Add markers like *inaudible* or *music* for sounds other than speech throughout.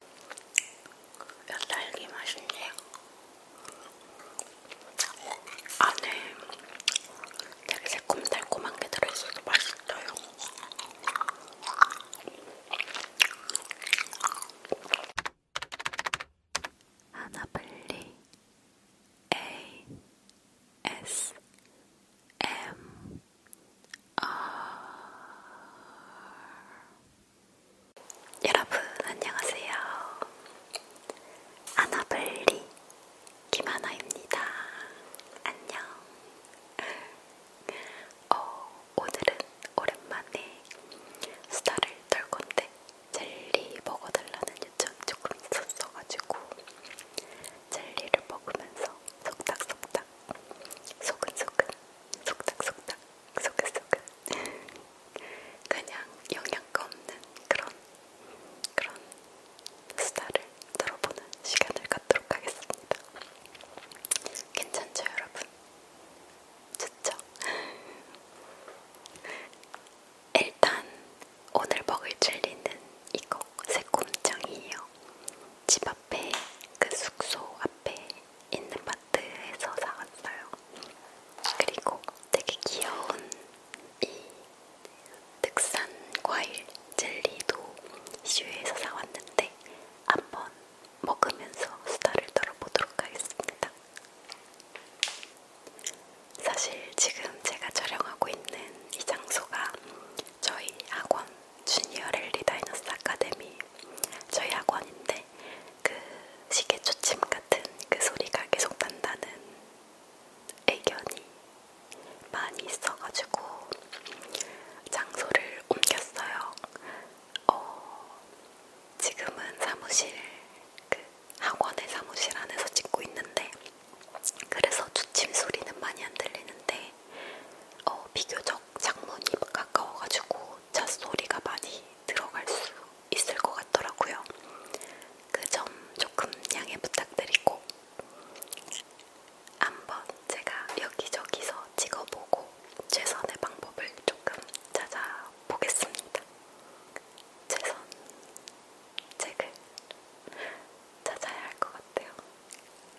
야, 그 딸기 맛있네. 안에 되게 새콤달콤한 게 들어있어서 맛있어요. 하나블리 A S M R 여러분 안녕하세요. 아나블리 김하나입니다. 안녕. 어, 오늘은 오랜만에 수다를 떨 건데 젤리 먹어달라는 요청 조금 있었어가지고 젤리를 먹으면서 속닥속닥 소근소근 속닥속닥 소근소근 그냥 영양가 없는 그런 그런 수다를 들어보는 시간을 갖도록 하겠습니다. 괜찮죠, 여러분? 좋죠? 일단 오늘 먹을 젤리는 이거 새콤장이에요. 집앞 앞에 그 숙소 앞에 있는 마트에서 사왔어요. 그리고 되게 귀여운 이 득산 과일 젤리도 슈에서 사왔는데 한번 먹으면서 수다를 떨어보도록 하겠습니다. 사실 지금 제가 촬영하고 있는 이 장소가 저희 학원 주니어 랠리 다이너스 아카데미 저희 학원인데 그 시계 초침 같은 그 소리가 계속 난다는 의견이 많이 있어가지고 장소를 옮겼어요. 어, 지금은 사무실, 그 학원의 사무실 안에서 찍고 있는데 그래서 초침 소리는 많이 안 들리는데 어, 비교적 창문이 가까워가지고 잣소리가 많이 들어갈 수 있을 것 같더라고요. 그 점 조금 양해 부탁드리고 한번 제가 여기저기서 찍어보고 최선의 방법을 조금 찾아보겠습니다. 최선 책을 찾아야 할 것 같아요.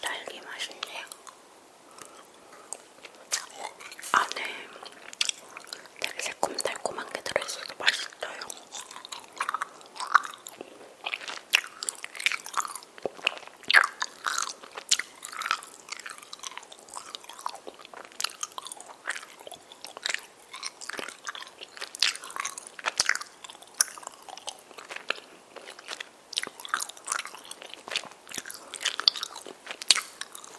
딸기 맛있네요. 안에 되게 새콤달콤한 게 들어있어서 맛있어요.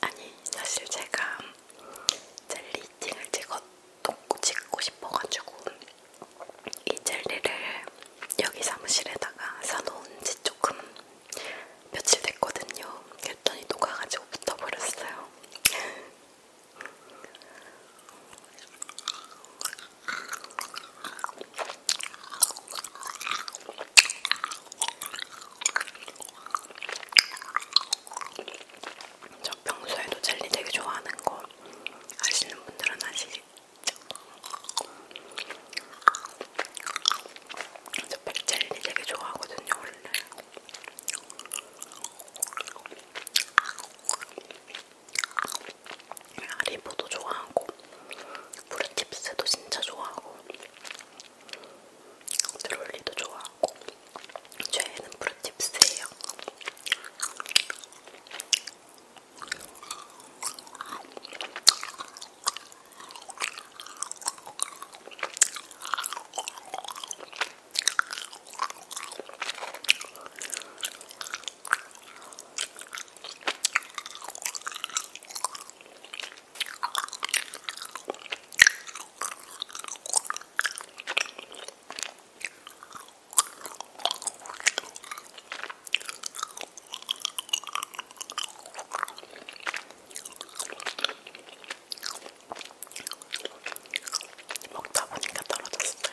아니 사실 제가 젤리팅을 찍어 찍고 싶어가지고 이 젤리를 여기 사무실에다가 사놓은 지 조금 며칠 됐거든요. 그랬더니 녹아가지고 붙어버렸어요. 저 평소에도 젤리 되게 좋아하는 거 아시는 분들은 아시겠죠? 저 백젤리 되게 좋아하거든요, 원래. 아리보도 좋아하고 브루칩스도 진짜 좋아하고 드롤리도 좋아하고 최애는 브루칩스예요. 먹다 보니까 떨어졌어요.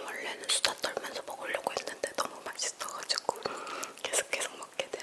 원래는 수다 떨면서 먹으려고 했는데 너무 맛있어가지고 계속 계속 먹게 되네.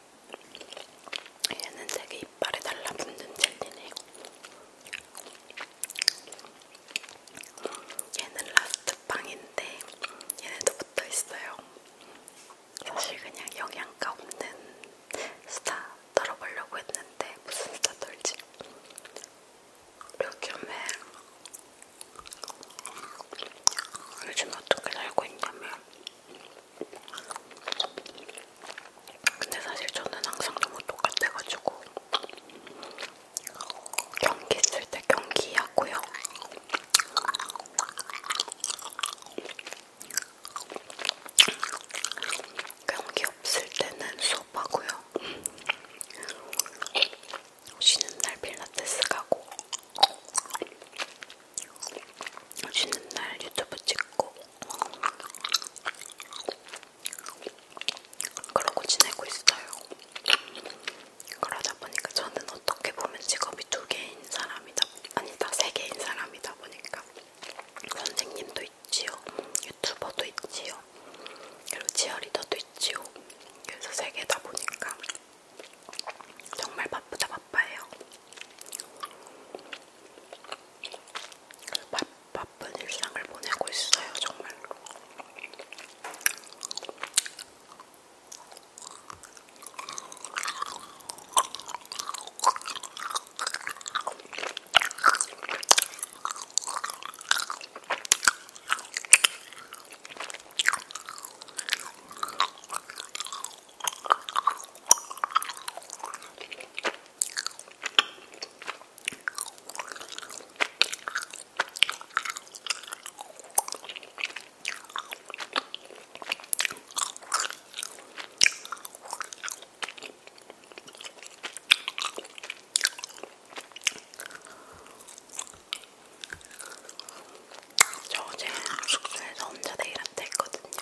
얘는 되게 이빨에 달라붙는 젤리네요. 얘는 라스트 빵인데 얘네도 붙어 있어요. 사실 그냥 영양가 없는 스타 떨어보려고 했는데 무슨 스타 떨지? 요즘에 요즘 어떻게 살고 있냐면 근데 사실 저는 항상 너무 똑같아가지고 경기 있을 때 경기하고요. 경기 없을 때는 수업하고요. 쉬는 날 필라테스 가고 쉬는 날 유튜브 찍고 그러고 지내고 있어요. 그러다 보니까 저는 어떻게 보면 직업이 두 개인 사람이다, 아니다, 세 개인 사람이다 보니까 선생님도 있지요, 유튜버도 있지요, 그리고 치어리더도 있지요. 그래서 세 개다 보니까 정말 바쁘다 바빠요. 바, 바쁜 일상을 보내고 있어요, 정말. 저 어제 숙소에서 혼자 데이라테 했거든요.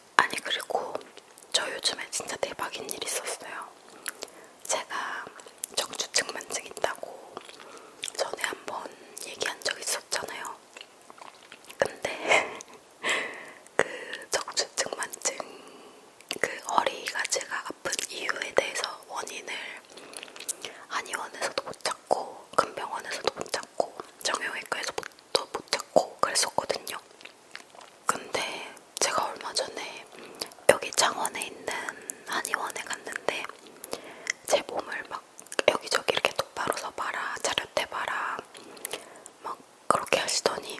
아니 그리고 저 요즘에 진짜 대박인 일 있었어요. 제가 정주측만증 있다고 전에 한번 얘기한 적 있었잖아요. 근데 *laughs* 그 정주측만증 그 허리가 제가 아픈 이유에 대해서 원인을 한의원에서도 못 찾고 큰 병원에서도 못 찾고 찾고 정형외과에서 더못 찾고 그랬었거든요. 근데 제가 얼마 전에 여기 창원에 있는 한의원에 갔는데 제 몸을 막 여기저기 이렇게 똑바로 서봐라, 차렷해봐라 막 그렇게 하시더니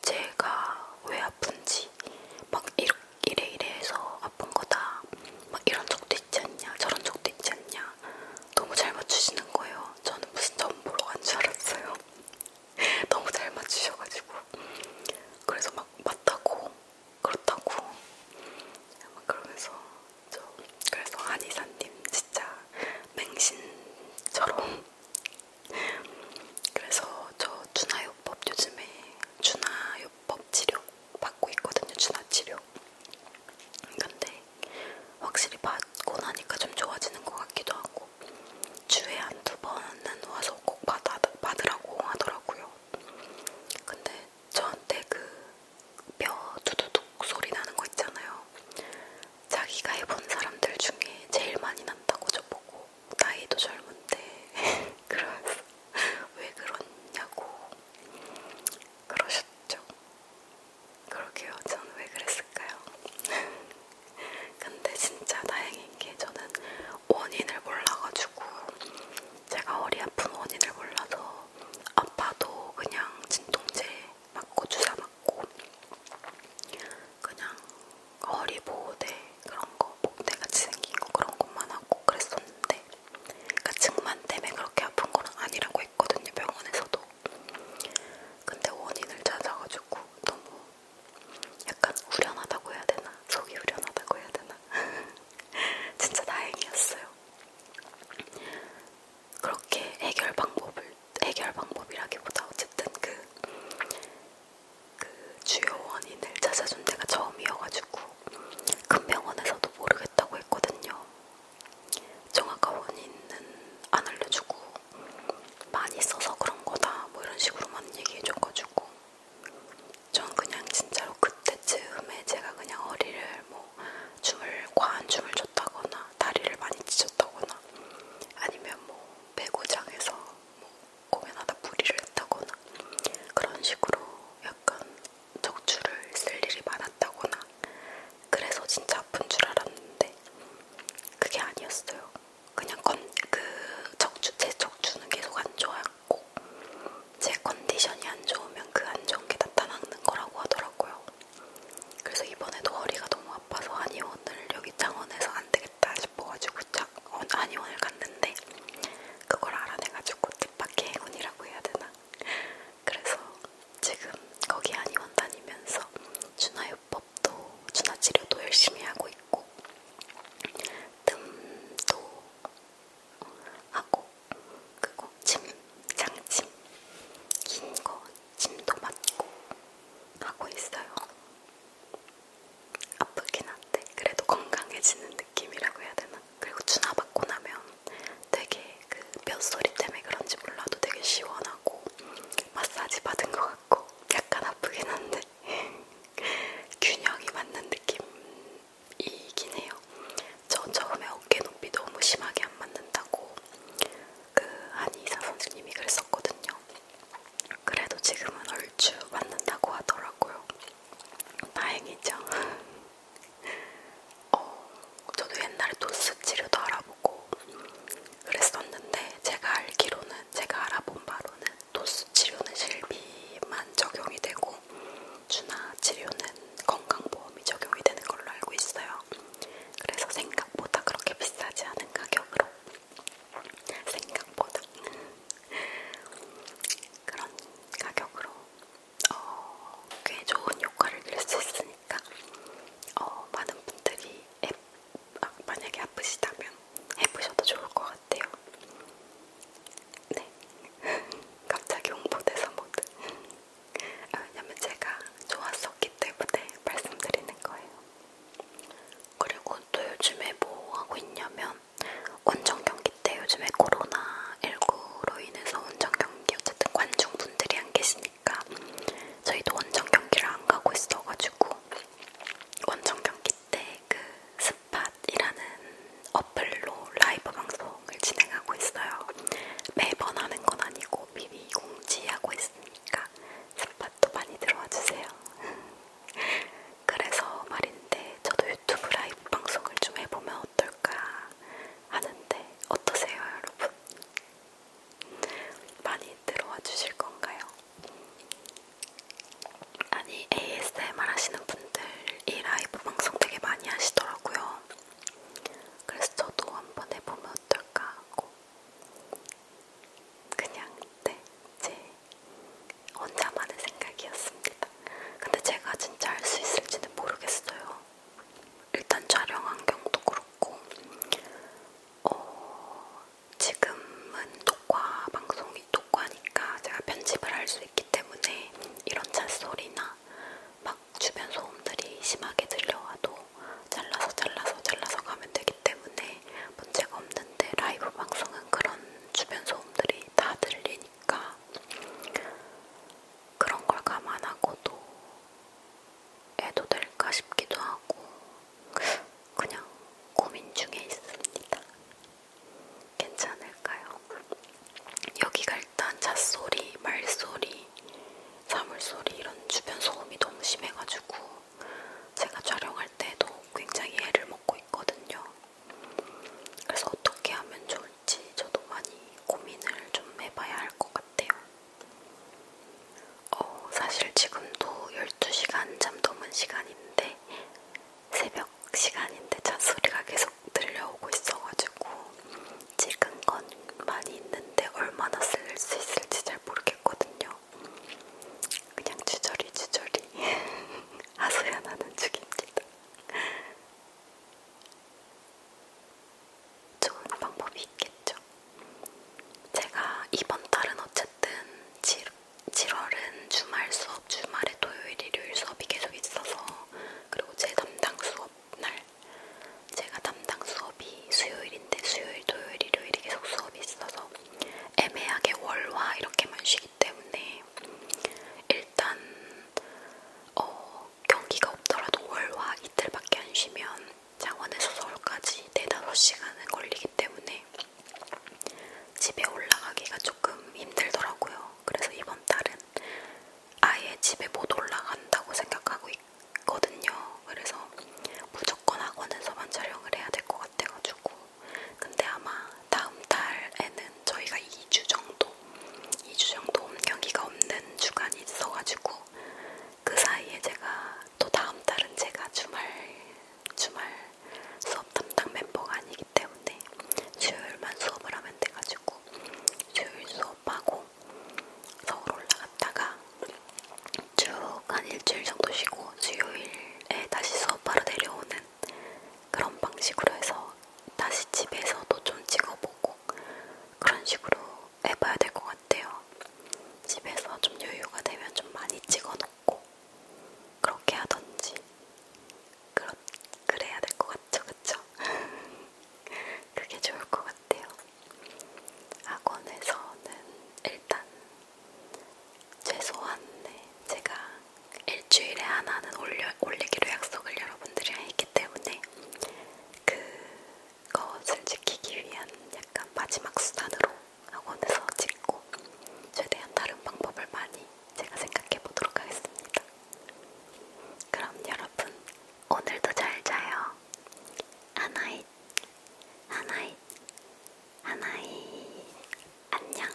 제가 왜 아픈지 막 이래 이래 해서 아픈 거다 막 이런 적도 있지 않냐 저런 적도 있지 않냐 너무 잘 맞추시는 거예요. 저는 무슨 점 보러 간줄 알았어요. *laughs* 너무 잘 맞추셔가지고 그래서 막 맞다고 그렇다고 막 그러면서 저 그래서 한의사님 진짜 맹신처럼 그래서 저 준하요법 요즘에 준하요법 치료 받고 있거든요. 준하치료 근데 확실히 받고 나니까 좀 좋아지는 것 같기도 하고 주에 한 두 번은 와서 꼭 받아, 받으라고 하더라고요. 근데 저한테 그 뼈 두두둑 소리 나는 거 있잖아요. 자기가 해본 사람들 중에 제일 많이 난다고 저보고 나이도 젊은데 *laughs* 그러면서 왜 그러냐고 그러셨죠. 그러게요. 저는 왜 그랬을까요? *laughs* 근데 진짜 다행인 게 저는 원인을 몰라가지고 제가 허리 아픈 원인을 몰라서 아파도 그냥 진통제 맞고 주사 맞고 그냥 허리 보호대 그런 거 목대 같이 생긴 거 그런 것만 하고 그랬었는데 그러니까 증만 때문에 그렇게 아픈 건 아니라고 했거든요 병원에서도 근데 원인을 찾아가지고 너무 약간 후련하다고 해야 되나? 속이 후련하다고 해야 되나? *laughs* 진짜 다행이었어요. 그렇게 해결 방법을, 해결 방법이라기보다 어쨌든 그, 그 주요 원인을 찾아준 데가 처음이어가지고 큰 병원에서도 모르겠다고 했거든요. 정확한 원인은 안 알려주고 많이 써서 그런 거다 뭐 이런 식으로만 얘기해줘가지고 전 그냥 진짜로 그때쯤에 제가 그냥 허리를 뭐 춤을 과한 춤을 췄다거나 다리를 많이 찢었다거나 아니면 뭐 배구장에서 뭐 공연하다 무리를 했다거나 그런 식으로 약간 적출을 쓸 일이 많았다거나 그래서 진짜 아픈 줄 알았는데 그게 아니었어요. 그냥 건, 그 척추, 제 척추는 계속 안 좋았고 제 컨디션이 안 좋으면 그 안 좋은 게 나타나는 거라고 하더라고요. 그래서 이번에도 허리가 너무 아파서 한의원을 여기 창원에서 안 되겠다 싶어가지고 자, 한의원을 어, 갔는데 그걸 알아내가지고 뜻밖의 행운이라고 해야 되나? 그래서 지금 거기 한의원 다니면서 준하요법도 준하치료도 열심히 하고 있고 뜸도 하고 그리고 침, 장침 긴 거 침도 맞고 하고 있어요. 아프긴 한데 그래도 건강해지는 느낌이라고 해야 되나? 그리고 준하 받고 나면 되게 그뼈 소리 때문에 그런지 몰라도 되게 시원하고 마사지 받은 것 같고 약간 아프긴 한데 *laughs* 균형이 맞는 느낌이긴 해요. 저 처음에 어깨 높이 너무 심하게 안 맞는다고 그 한의사 선생님이 그랬었거든요. 그래도 지금은 얼추 맞는다고 하더라고요. 다행이죠. 어, 저도 옛날에 도스 치료도 알아보고 그랬었는데 제가 알기로는 제가 알아본 바로는 도스 치료는 실비만 적용이 되고 주나 치료는 건강보험이 적용이 되는 걸로 알고 있어요. 그래서 생각보다 그렇게 비싸지 않은 가격으로 생각보다 그런 가격으로 어, 꽤 좋은 효과를 낼 수 있으니 있으니까 어, 많은 분들이 해, 아, 만약에 아프시다면 해보셔도 좋을 것 같아요. 네, *laughs* 갑자기 홍보돼서 못. 아, 왜냐면 제가 좋았었기 때문에 말씀드리는 거예요. 그리고 또 요즘에 뭐 하고 있냐면 원정 경기 때 요즘에 코로나 19로 인해서 원정 경기 어쨌든 관중 분들이 안 계신. 있으니까 저희도 원정 경기를 안 가고 있어가지고 원정 경기 때 그 스팟이라는 어플로 라이브 방송을 진행하고 있어요. 매번 하는 건 아니고 미리 공지하고 있으니까 스팟도 많이 들어와 주세요. *laughs* 그래서 말인데 저도 유튜브 라이브 방송을 좀 해보면 어떨까 하는데 어떠세요, 여러분? 많이 들어와 주실 건가요? 아니 ASMR 하시는 분들이 라이브 방송 되게 많이 하시더라고요. 그래서 저도 한번 해보면 어떨까 하고 그냥 네, 제 혼자만의 생각이었습니다. 근데 제가 진짜 할 수 있을지는 모르겠어요. 일단 촬영 환경도 그렇고 어, 지금은 녹화 방송이 녹화니까 제가 편집을 할 수 있기 때문에 이런 찻소리나 막 주변 소음들이 심하게 들려와도 잘라서 잘라서 잘라서 가면 되기 때문에 문제가 없는데 라이브 방송은 그런 주변 소음들이 다 들리니까 그런 걸 감안하고도 해도 될까 싶기도 하고 그냥 고민 중에 있습니다. 괜찮을까요? 여기가 일단 잣소리, 말소리, 사물소리 이런 주변 소음이 너무 심해가지고 제가 촬영할 때도 굉장히 애를 먹고 있거든요. 그래서 어떻게 하면 좋을지 저도 많이 고민을 좀 해봐야 할 것 같아요. 어, 사실 지금도 12시간 잠 넘은 시간인데 새벽 시간인데 차 소리가 계속 들려오고 있어가지고 찍은 건 많이 있는데 얼마나 쓸 수 있을지 잘 모르겠거든요. 그냥 주저리 주저리 *laughs* 하소연하는 중입니다. 좋은 방법이 있겠죠. 제가 이번 달은 어쨌든 7, 7월은 주말 수업, 주말에 토요일, 일요일 수업이 계속 있어서 그리고 제 담당 수업 날 제가 담당 수업이 수요일인데 수요일, 토요일, 일요일이 계속 수업이 있어서 애매하게 월화 이렇게만 쉬기 때문에 일단 어 경기가 없더라도 월화 이틀밖에 안 쉬면 장원에서 서울까지 4-5시간은 걸리기 때문에 집에 올라가기가 조금 힘들더라고요. 그래서 이번 달은 아예 집에 못 올라간다고 생각하고 있거든요. 그래서 무조건 학원에서만 촬영을 해야 될 것 같아가지고. 근데 아마 다음 달에는 저희가 2주 정도 2주 정도 홈 경기가 없는 주간이 있어가지고 그 사이에 제가 또 다음 달은 제가 주말 주말 수업 담당 멤버가 아니기 때문에 수요일만 수업을 하면 돼가지고 수요일 수업하고 서울 올라갔다가 쭉한 일주일 정도 쉬고 수요일에 다시 수업하러 내려오는 그런 방식으로 해서 다시 집에서도 좀 찍어보고 그런 식으로 해봐야 될 것 같아요. 집에서 좀 여유가 되면 좀 많이 찍어놓고 그렇게 하던지 그렇, 그래야 될 것 같죠, 그쵸? *laughs* 그게 좋을 것 같아요. 학원에서는 일단 최소한 네, 제가 일주일에 하나는 올려, 올리기로 약속을 여러분들이랑 했기 때문에 그 것을 지키기 위한 약간 마지막 수단으로 학원에서 찍고 최대한 다른 방법을 많이 제가 생각해 보도록 하겠습니다. 그럼 여러분 오늘도 잘 자요. 하나잇 하나잇 하나잇 안녕